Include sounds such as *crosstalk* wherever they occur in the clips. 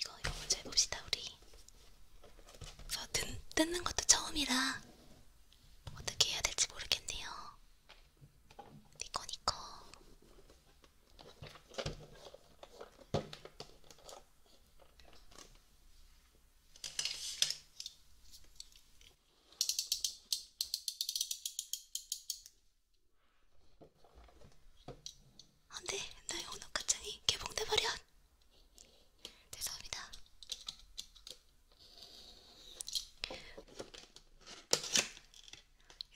이거 이거 먼저 해봅시다 우리. 저 아, 뜯, 뜯는 것도 처음이라 어떻게 해야 될지 모르겠네요. 니꺼 니꺼. 안돼, 나의 온화가창이 개봉돼버려. 죄송합니다.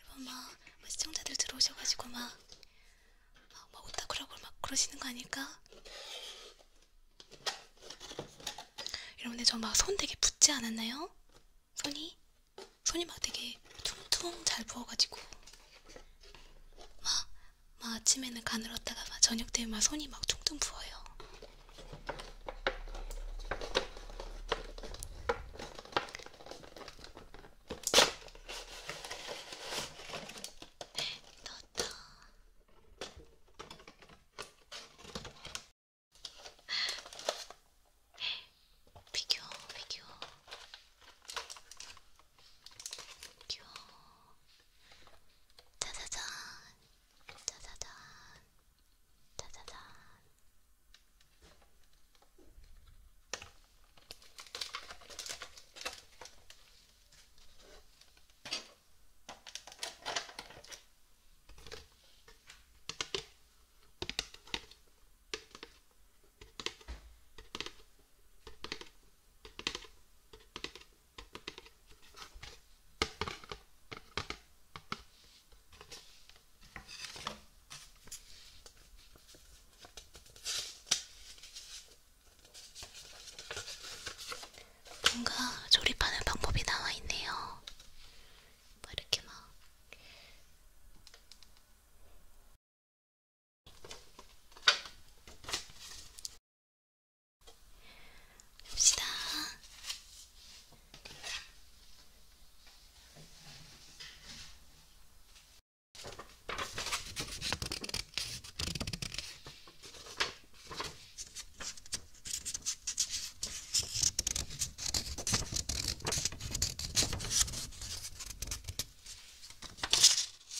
이번 막, 막 시청자들 들어오셔가지고 막, 막, 막 오타쿠라고 막 그러시는 거 아닐까? 여러분들 저막 손 되게 붓지 않았나요? 손이? 손이 막 되게 퉁퉁 잘 부어가지고 막, 막 아침에는 가늘었다가 막 저녁 되면 막 손이 막 퉁퉁 부어요. 네, 넣었다. 피규어, 피규어. 귀여워. 짜자잔. 짜자잔. 짜자잔. 뭔가 조립하는 방법이 나와 있네요. 뭐 이렇게 막 갑시다.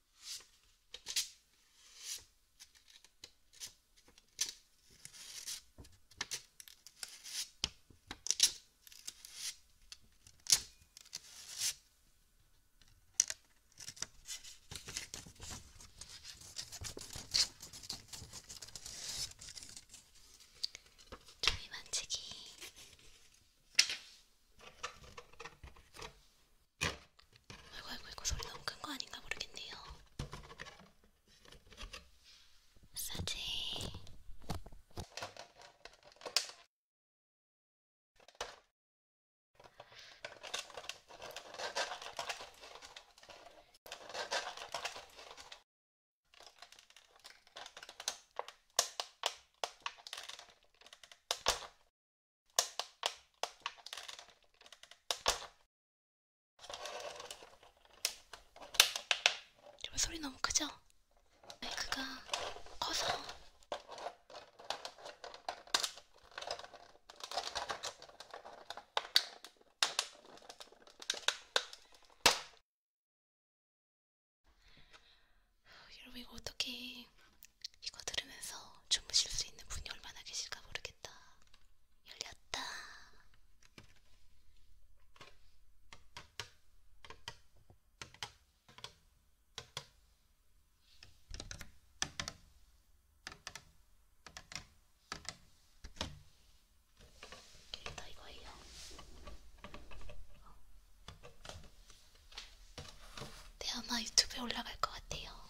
저희 만지기 아이고 아이고 이거 소리 너무 큰 거 아닌가 모르겠네요. 마사지. 여러분 소리 너무 크죠? 마이크가 커서 여러분 이거 어떻게 이거 들으면서 주무실 수 있는 분이 얼마나 계실까 모르겠다. 열렸다. 일단 이거예요. 네, 아마 유튜브에 올라갈 것 같아요.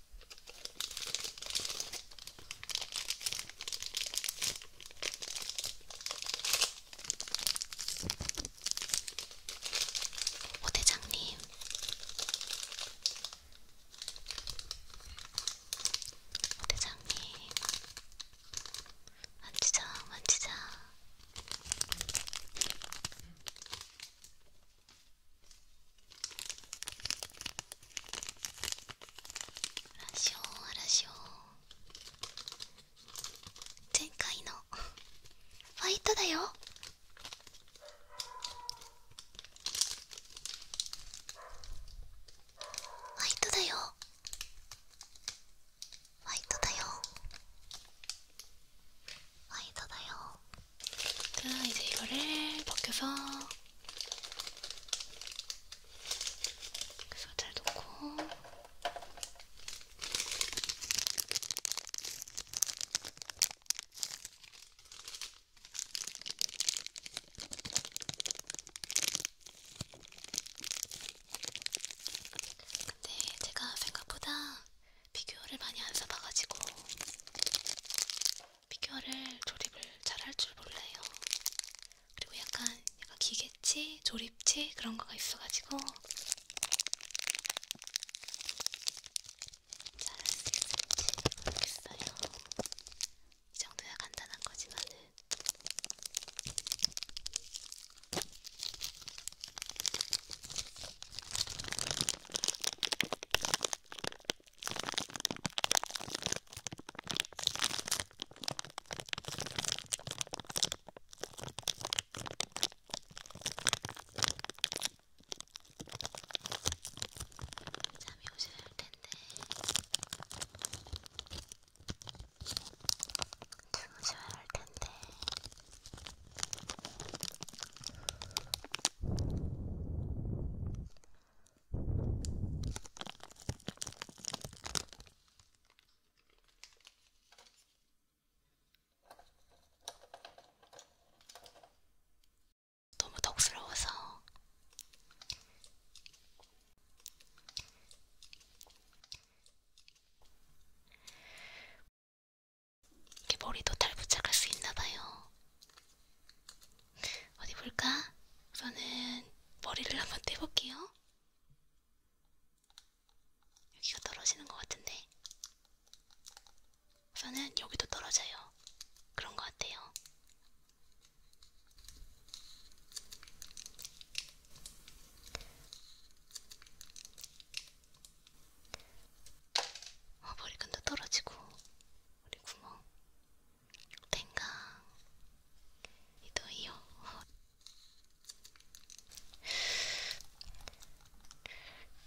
오 대장님 오 대장님 만지자 만지자 ラジオラジオ前回のファイトだよファイトだよファイトだよファイトだよ大事これポケフ 그래서 잘 놓고 근데 제가 생각보다 비교를 많이 안 써봐가지고 피규어를 조립을 잘 할 줄 몰라요. 그리고 약간 약간 기계치, 조립치 그런 거가 있어가지고 잘 할 수 있을지 모르겠어요. 이 정도야 간단한 거지만은. 잠이 오셔야 할 텐데 주무셔야 할 텐데. 너무 덕스러워서 이게 머리도 잘 부착할 수 있나봐요. 어디 볼까? 우선은 머리를 한번 떼볼게요. 여기가 떨어지는 것 같은데. 우선은 여기도 떨어져요. 그런 것 같아요. 어, 머리끈도 떨어지고, 우리 구멍. 天がひどいよ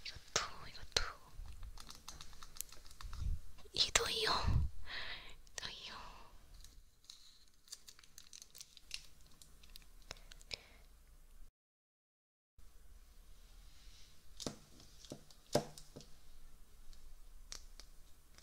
이것도 이것도 이도이요 이도이요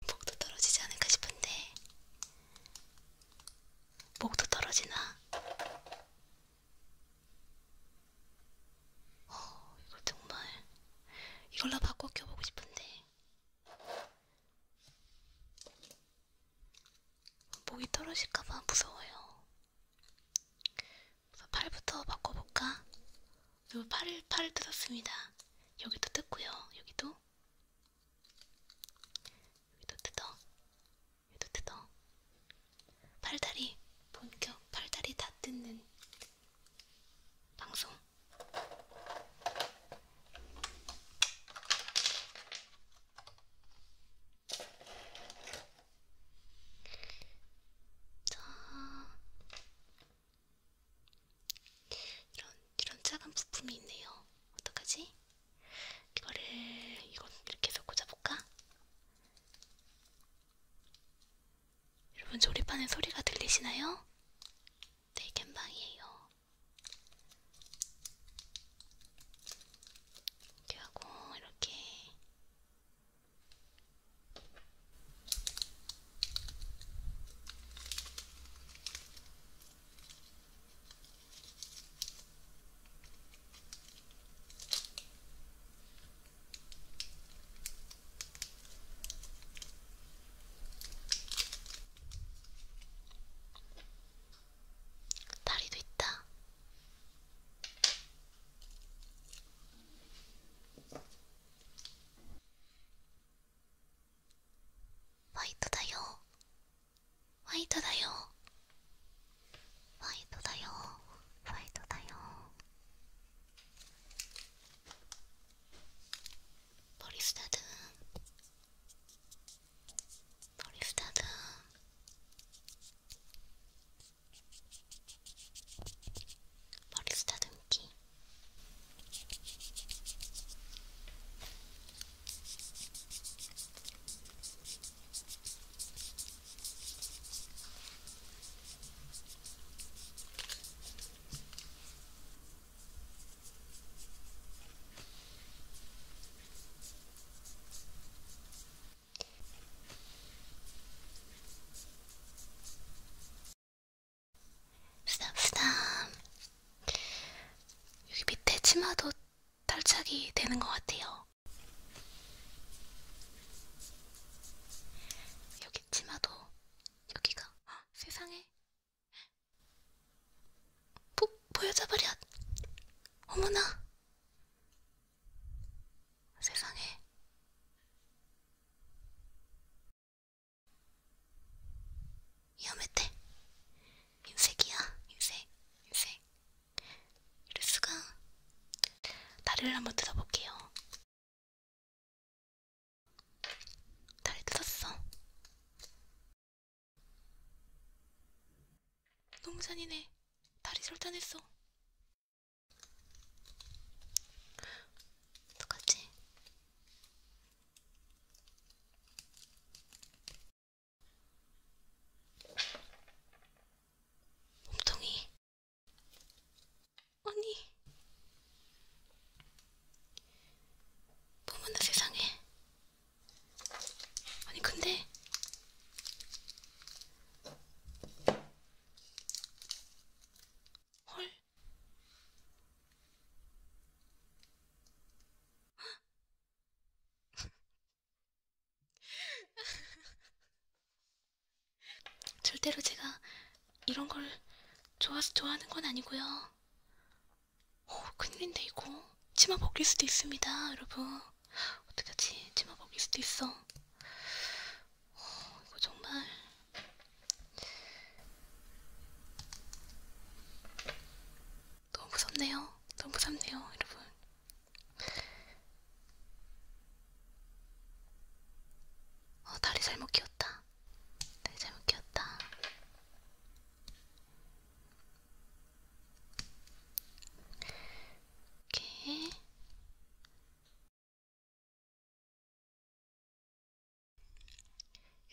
목도 떨어지지 않을까 싶은데 목도 떨어지나? 어, 이거 정말 이걸로 바꿔 껴보고 싶은데 목이 떨어질까봐 무서워요. 그래서 팔부터 바꿔볼까? 그리고 팔을 팔을 뜯었습니다. 여기도 뜯고요. 여기도 여기도 뜯어. 여기도 뜯어. 팔다리 본격 팔다리 다 뜯는 방송. 자, 이런 이런 작은 부품이 있네요. 어떡하지? 이거를 이건 이렇게 해서 꽂아볼까? 여러분 조립하는 소리가 들리시나요? 네, 겜방이에요. 이렇게 하고 이렇게 다리도 있다. ファイトだよファイトだよファイトだよファイトだよポリスタドゥンポリスタドゥンポリスタドゥンキー 부담부담 여기 밑에 치마도 탈착이 되는 것 같아요. 여기 치마도 여기가 헉, 아, 세상에 보, 보여져버려 어머나 세상에 위험했대. 인색이야, 인색, 인색. 이럴 수가. 다리를 한번 뜯어볼게요. 다리 뜯었어. 너무 잔인해. 다리 절단했어. 어떡하지? 몸통이 언니 어머나 뭐 세상에 아니 근데 헐 *laughs* 절대로 제가 이런 걸 좋아서 좋아하는 건 아니고요. 오, 어, 큰일인데 이거 치마 벗길 수도 있습니다, 여러분. 어떡하지? 치마 벗길 수도 있어. 오, 어, 이거 정말 너무 무섭네요. 너무 무섭네요, 여러분. 어, 다리 잘못 끼웠다. 다리 잘못 끼웠다. 이렇게.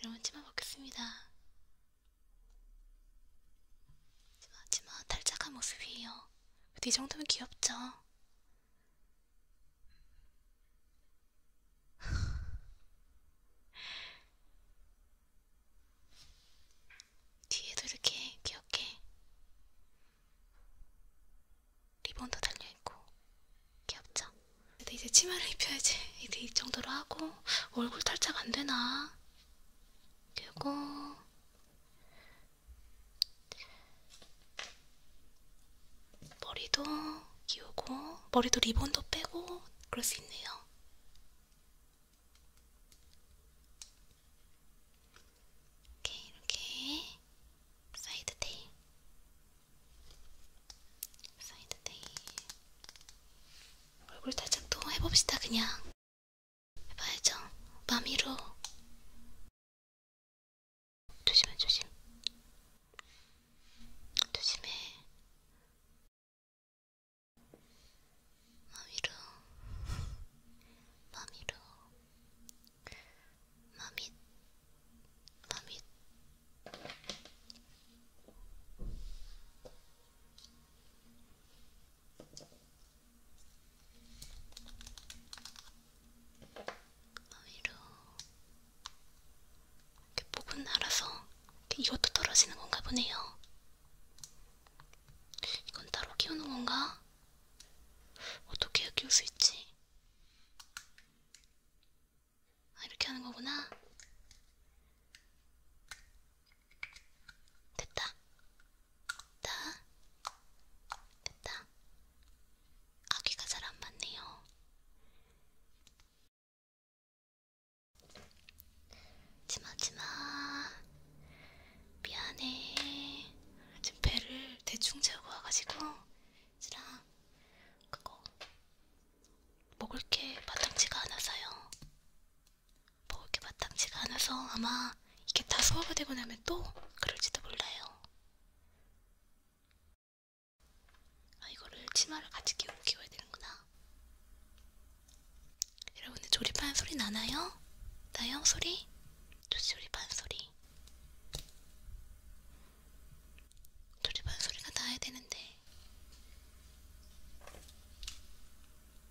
여러분, 치마 벗겠습니다. 하지만 탈착한 모습이에요. 근데 이 정도면 귀엽죠? *laughs* 뒤에도 이렇게 귀엽게 리본도 달려있고 귀엽죠? 근데 이제 치마를 입혀야지. 이제 이 정도로 하고 얼굴 탈착 안 되나? 그리고 머리도 기우고 머리도 리본도 빼고 그럴 수 있네요. 이렇게 이렇게 사이드 테일, 사이드 테일. 얼굴 탈착도 해봅시다 그냥. 해봐야죠. 마미로. 조심해, 조심. 조심해. 마미로. 마미로. 마미. 마미. 위로 아, 이렇게 부분 날아서 이것도 떨어지는 건가 보네요. 이건 따로 키우는 건가? 어떻게 키울 수 있지? 아, 이렇게 하는 거구나. 됐다. 됐다. 됐다. 아기가 잘 안 맞네요. 지마지마. 미안해. 지금 배를 대충 채우고 와가지고 지랑 그거 먹을 게 마땅치가 않아서요. 뭐 이렇게 마땅치가 않아서 아마 이게 다 소화가 되고 나면 또 그럴지도 몰라요. 아 이거를 치마를 같이 끼고 키워야 되는구나. 여러분들 조립하는 소리 나나요? 나요 소리? 조립하는 소리. 조립하는 소리가 나야 되는데.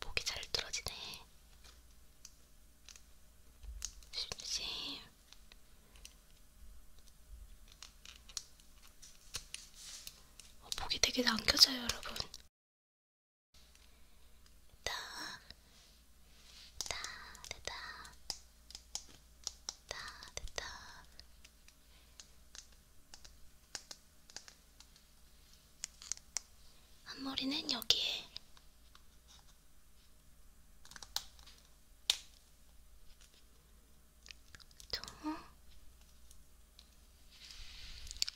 목이 잘 뚫어지네. 조심. 어, 목이 되게 당겨져요, 여러분. 다, 다, 됐다. 다, 됐다. 앞머리는 여기에. 저 완성.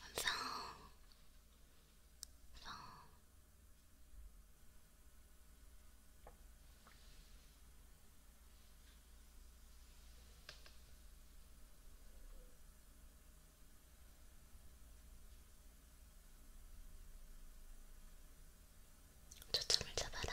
완성. 초점을 잡아라.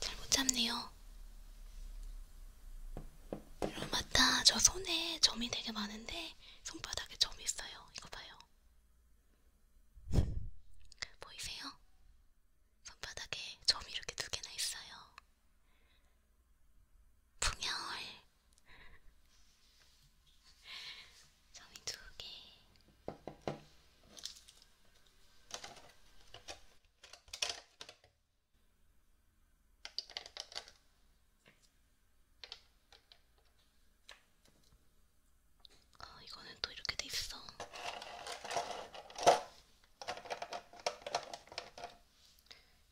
잘못 잡네요. 어, 맞다. 저 손에 점이 되게 많은데 손바닥에 점이 있어요. 이거 봐요. *laughs* 보이세요? 손바닥에 점이 이렇게 두 개나 있어요. 풍열. *laughs* 점이 두 개. 아, 이거는 또 이렇게 돼 있어.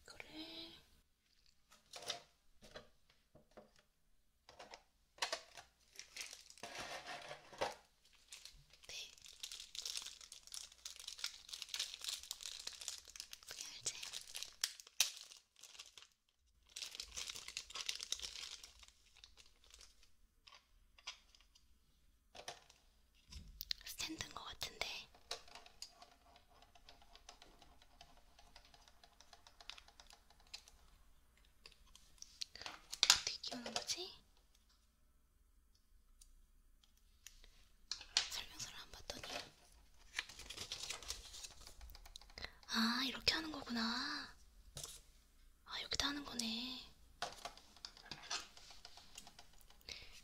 그래. 네. 그열제 스탠드인 것 같은데 어떻게 끼우는 거지? 설명서를 안 봤더니 아 이렇게 하는 거구나 아 여기다 하는 거네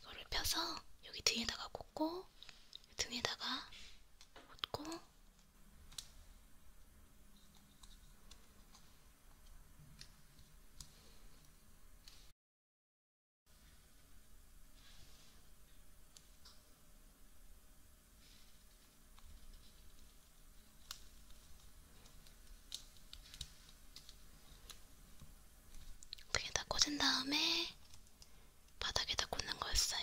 이거를 펴서 여기 등에다가 꽂고 등에다가 꽂고 그게 다 꽂은 다음에 바닥에다 꽂는 거였어요.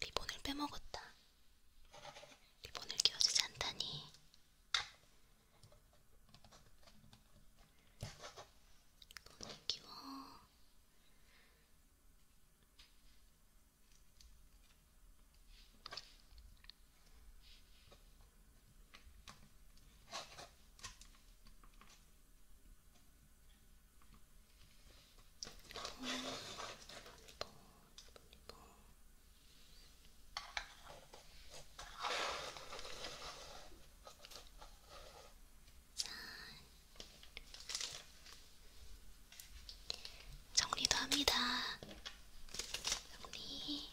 리본을 빼먹었다. 리본을 끼워주지 않다니. 리본을 끼워. 정리도 합니다. 정리.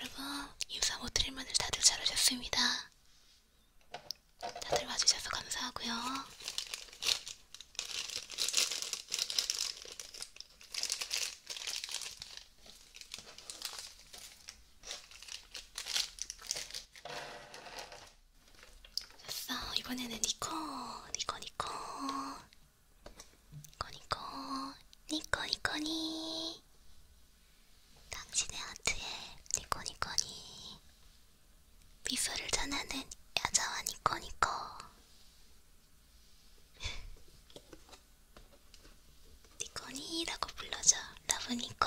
여러분, 인사 모드릴 분들 다들 잘 오셨습니다. 다들 와주셔서 감사하고요. 됐어. 이번에는 니코, 니코, 니코, 니코, 니코, 니코, 니코니. 당신의 하트에 니코, 니코니. 미소를 전하는 여자와 니코, 니코. *laughs* 니코니라고 불러줘. 러브 니코.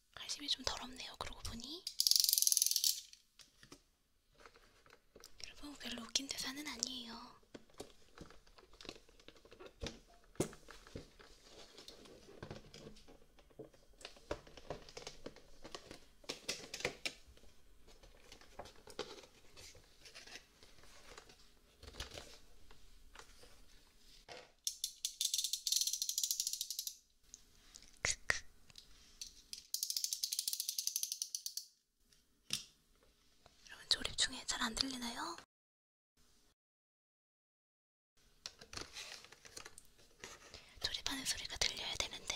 칼집이 좀 더럽네요. 그러고 보니 여러분 별로 웃긴 대사는 아니에요. 크크. 여러분 조립 중에 잘 안 들리나요? 조립하는 소리가 들려야 되는데.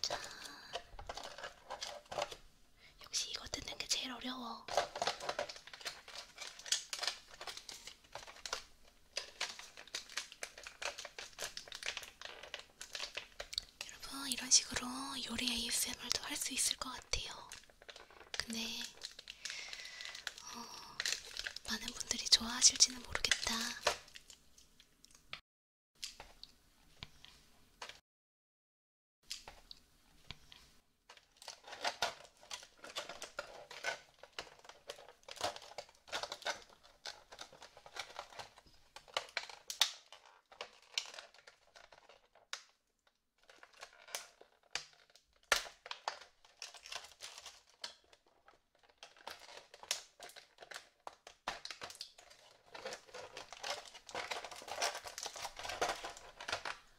자, 역시 이거 뜯는 게 제일 어려워. 여러분 이런 식으로 요리 ASMR도 할 수 있을 것 같아요. 근데 어, 많은 분들이 좋아하실지는 모르겠다.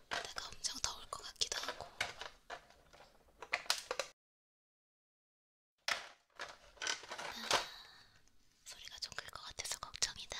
내가 엄청 더울 것 같기도 하고. 아, 소리가 좀 클 것 같아서 걱정이다.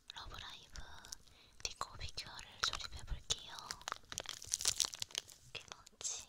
러브라이브 니코 비큐어를 조립해볼게요. 이렇게 넣지.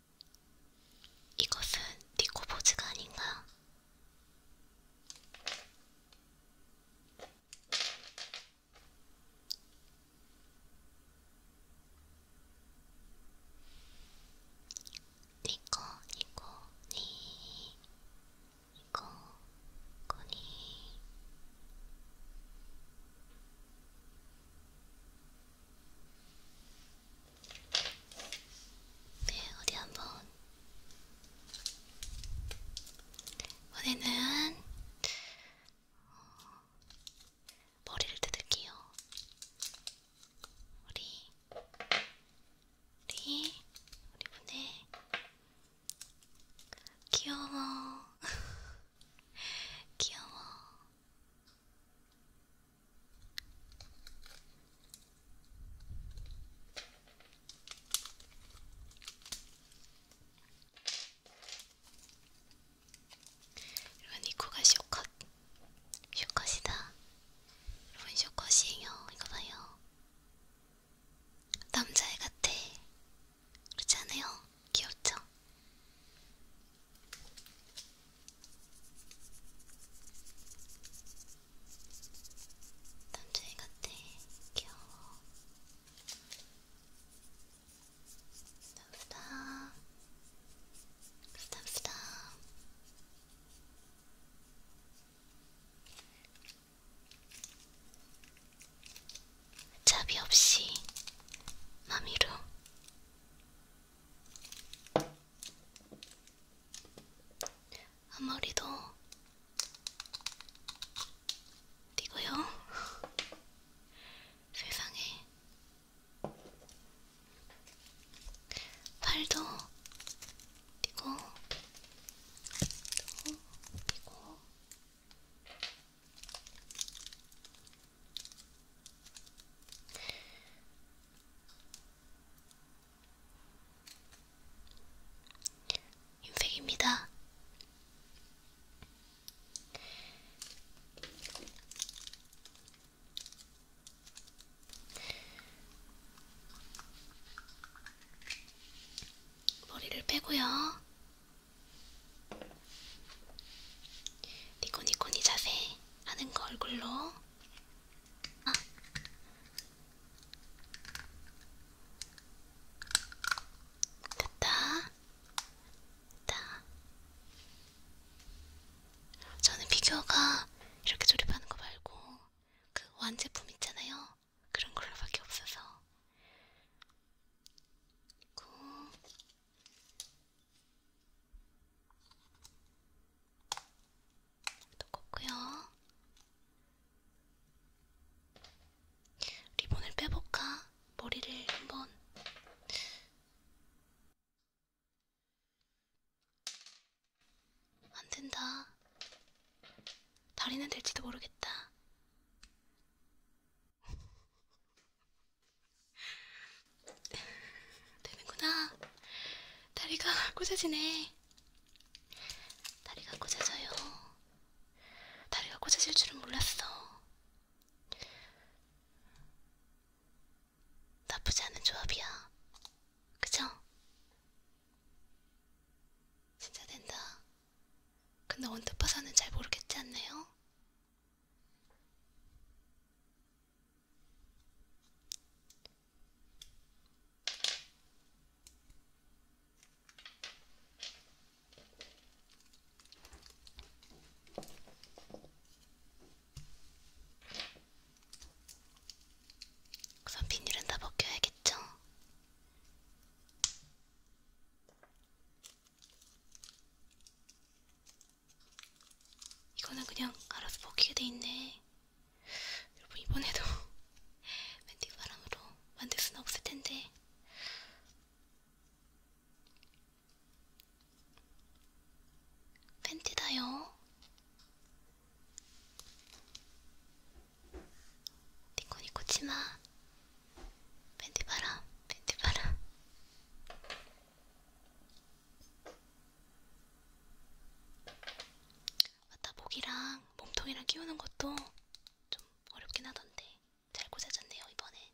이것은 니코보즈가 아닌가? 니코 니코 니 니코 코니 네, 어디 한번. 이번에는 어, 머리를 뜯을게요. 우리, 우리, 우리 분의 귀여워, *laughs* 귀여워. 여러분 이 코가 쇼컷 쇼컷이다 여러분 쇼컷이에요 이거 봐요 남자애 같아 그렇지 않아요? 귀엽죠? 남자애 같아. 귀여워. 감사합니다. 감사합니다. 자비 없이 마미로 앞머리도 띄고요. *laughs* 세상에. 팔도 띄고, 또 띄고. 인팩입니다. 머리를 빼고요. 니코니코니 자세 아는 거 얼굴로 아. 됐다. 됐다. 저는 비교가 이렇게 조립하는 거 말고 그 완제품 있잖아요. 그런 걸로밖에 없어서. 고. 두껍고요. 리본을 빼볼까? 머리를 한번. 안 된다. 다리는 될지도 모르겠다. *laughs* 되는구나. 다리가 꼬져지네. *laughs* 다리가 꽂아져요. 다리가 꽂아질 줄은 몰랐어. 나쁘지 않은 조합이야. 그죠? 진짜 된다. 근데 원투파사는 잘 모르겠지 않나요? 우선 비닐은 다 벗겨야겠죠? 이거는 그냥 알아서 벗기게 돼 있네. 여러분 이번에도 멘티바람으로 *laughs* 만들 수는 없을 텐데 팬티다요. 니코니코 치마. 팬티 바람, 팬티 바람. 맞다 목이랑 몸통이랑 끼우는 것도 좀 어렵긴 하던데 잘 고사졌네요 이번에.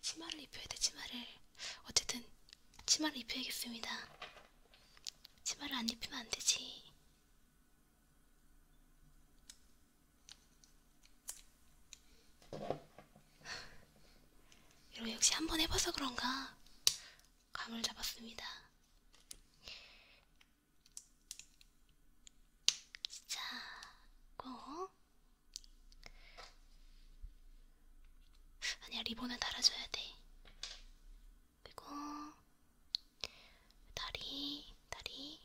치마를 입혀야 돼 치마를 어쨌든 치마를 입혀야겠습니다. 치마를 안 입히면 안 되지. 이거 역시 한 번 해봐서 그런가 감을 잡았습니다. 자, 고. 아니야, 리본을 달아줘야 돼. 그리고 다리, 다리,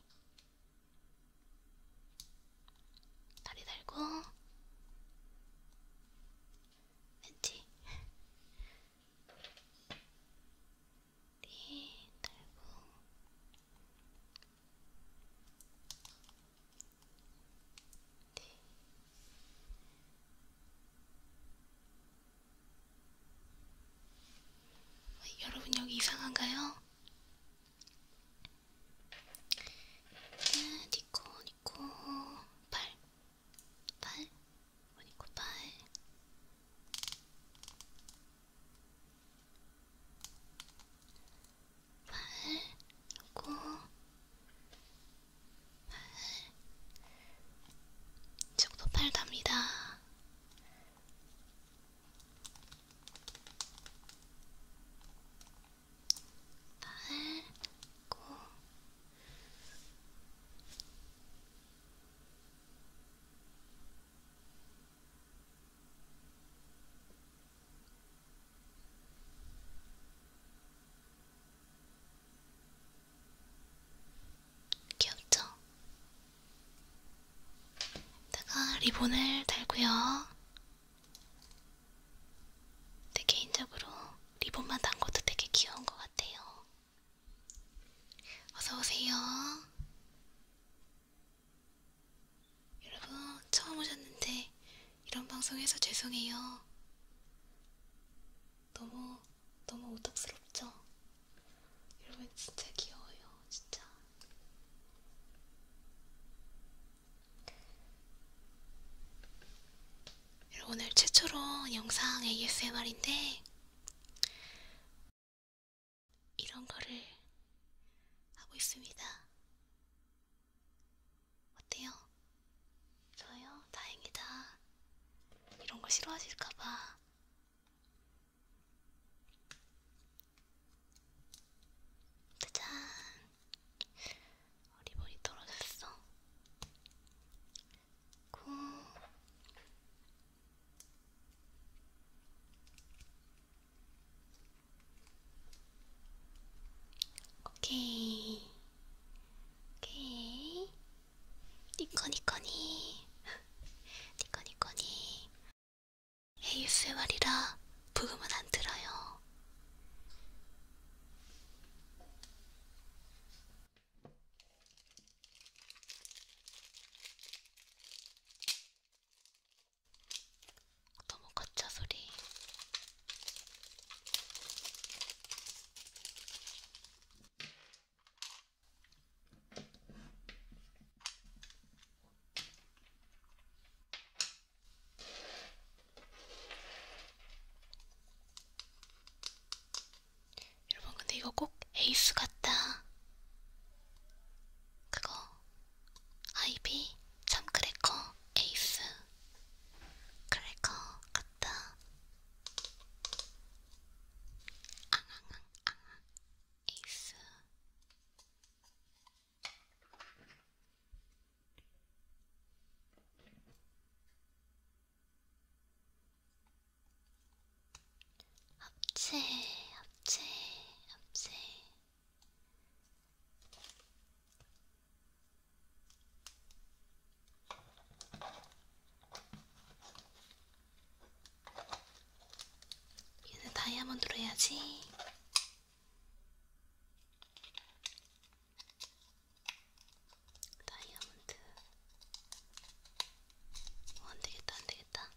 다리 달고 벤치 다리 네, 달고 네. 여러분 여기 이상한가요? 네, 니코 니코 팔, 팔, 니코 팔. 팔, 코, 팔. 이쪽도 팔 갑니다. 팔고 귀엽죠? 다가 리본을 달고요. 근데 개인적으로 리본만 단 것도 되게 귀여운 것 같아요. 어서오세요. 여러분, 처음 오셨는데 이런 방송에서 죄송해요. 너무, 너무 오덕스럽죠? 여러분, 진짜 귀여워요. 진짜. 오늘 최초로 영상 ASMR인데 이런 거를 하고 있습니다. 어때요? 저요? 다행이다. 이런 거 싫어하실까봐. 짜잔! 어, 리본이 떨어졌어. 고. 오케이. 오케이. 니꺼니꺼니. *laughs* 니꺼니꺼니. ASMR이라 부금은 안 들어요. 너무 가짜 소리. 여러분 근데 이거 꼭 에이스 같다. 그거 아이비 참크래커 에이스 크래커 같다. 앙앙앙 앙 에이스 합체, 합체, 합체. 얘는 다이아몬드로 해야지. 다이아몬드 어, 안되겠다 안되겠다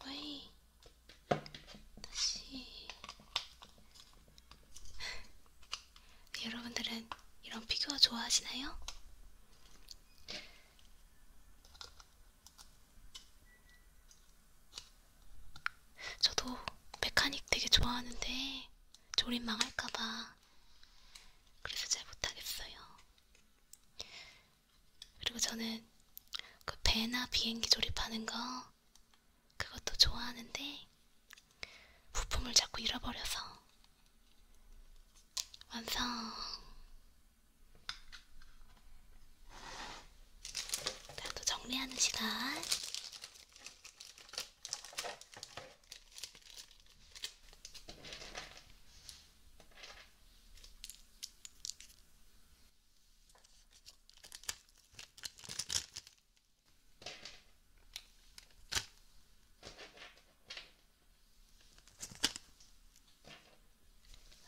어이 다시 *laughs* 여러분들은 이런 피규어 좋아하시나요? 저도 메카닉 되게 좋아하는데 조립 망할까봐 그래서 잘 못하겠어요. 그리고 저는 그 배나 비행기 조립하는 거 그것도 좋아하는데 부품을 자꾸 잃어버려서 완성 나도 정리하는 시간.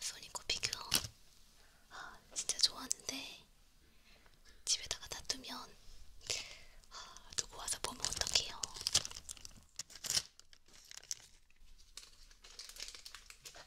소니코 피규어 아 진짜 좋아하는데 집에다가 놔두면 아, 누구 와서 보면 어떡해요. 좋습니다.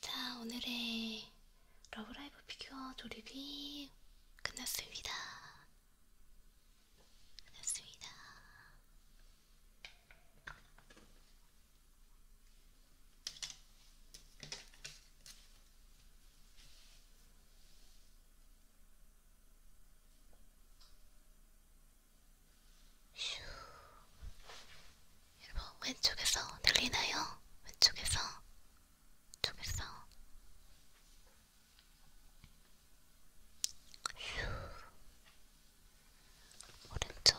자, 오늘의 러브라이브 피규어 조립이 끝났습니다. 끝났습니다. 슈. 여러분 왼쪽에서 들리나요? 왼쪽에서 왼쪽에서 슈. 오른쪽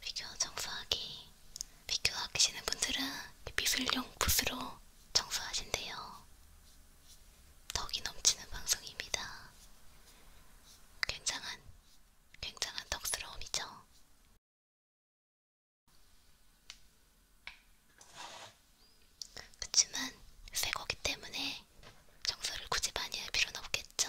피규어 청소하기 피규어 아끼시는 분들은 미술용 붓으로 청소하신대요. 덕이 넘치는 방송입니다. 굉장한, 굉장한 덕스러움이죠. 그치만 새 거기 때문에 청소를 굳이 많이 할 필요는 없겠죠.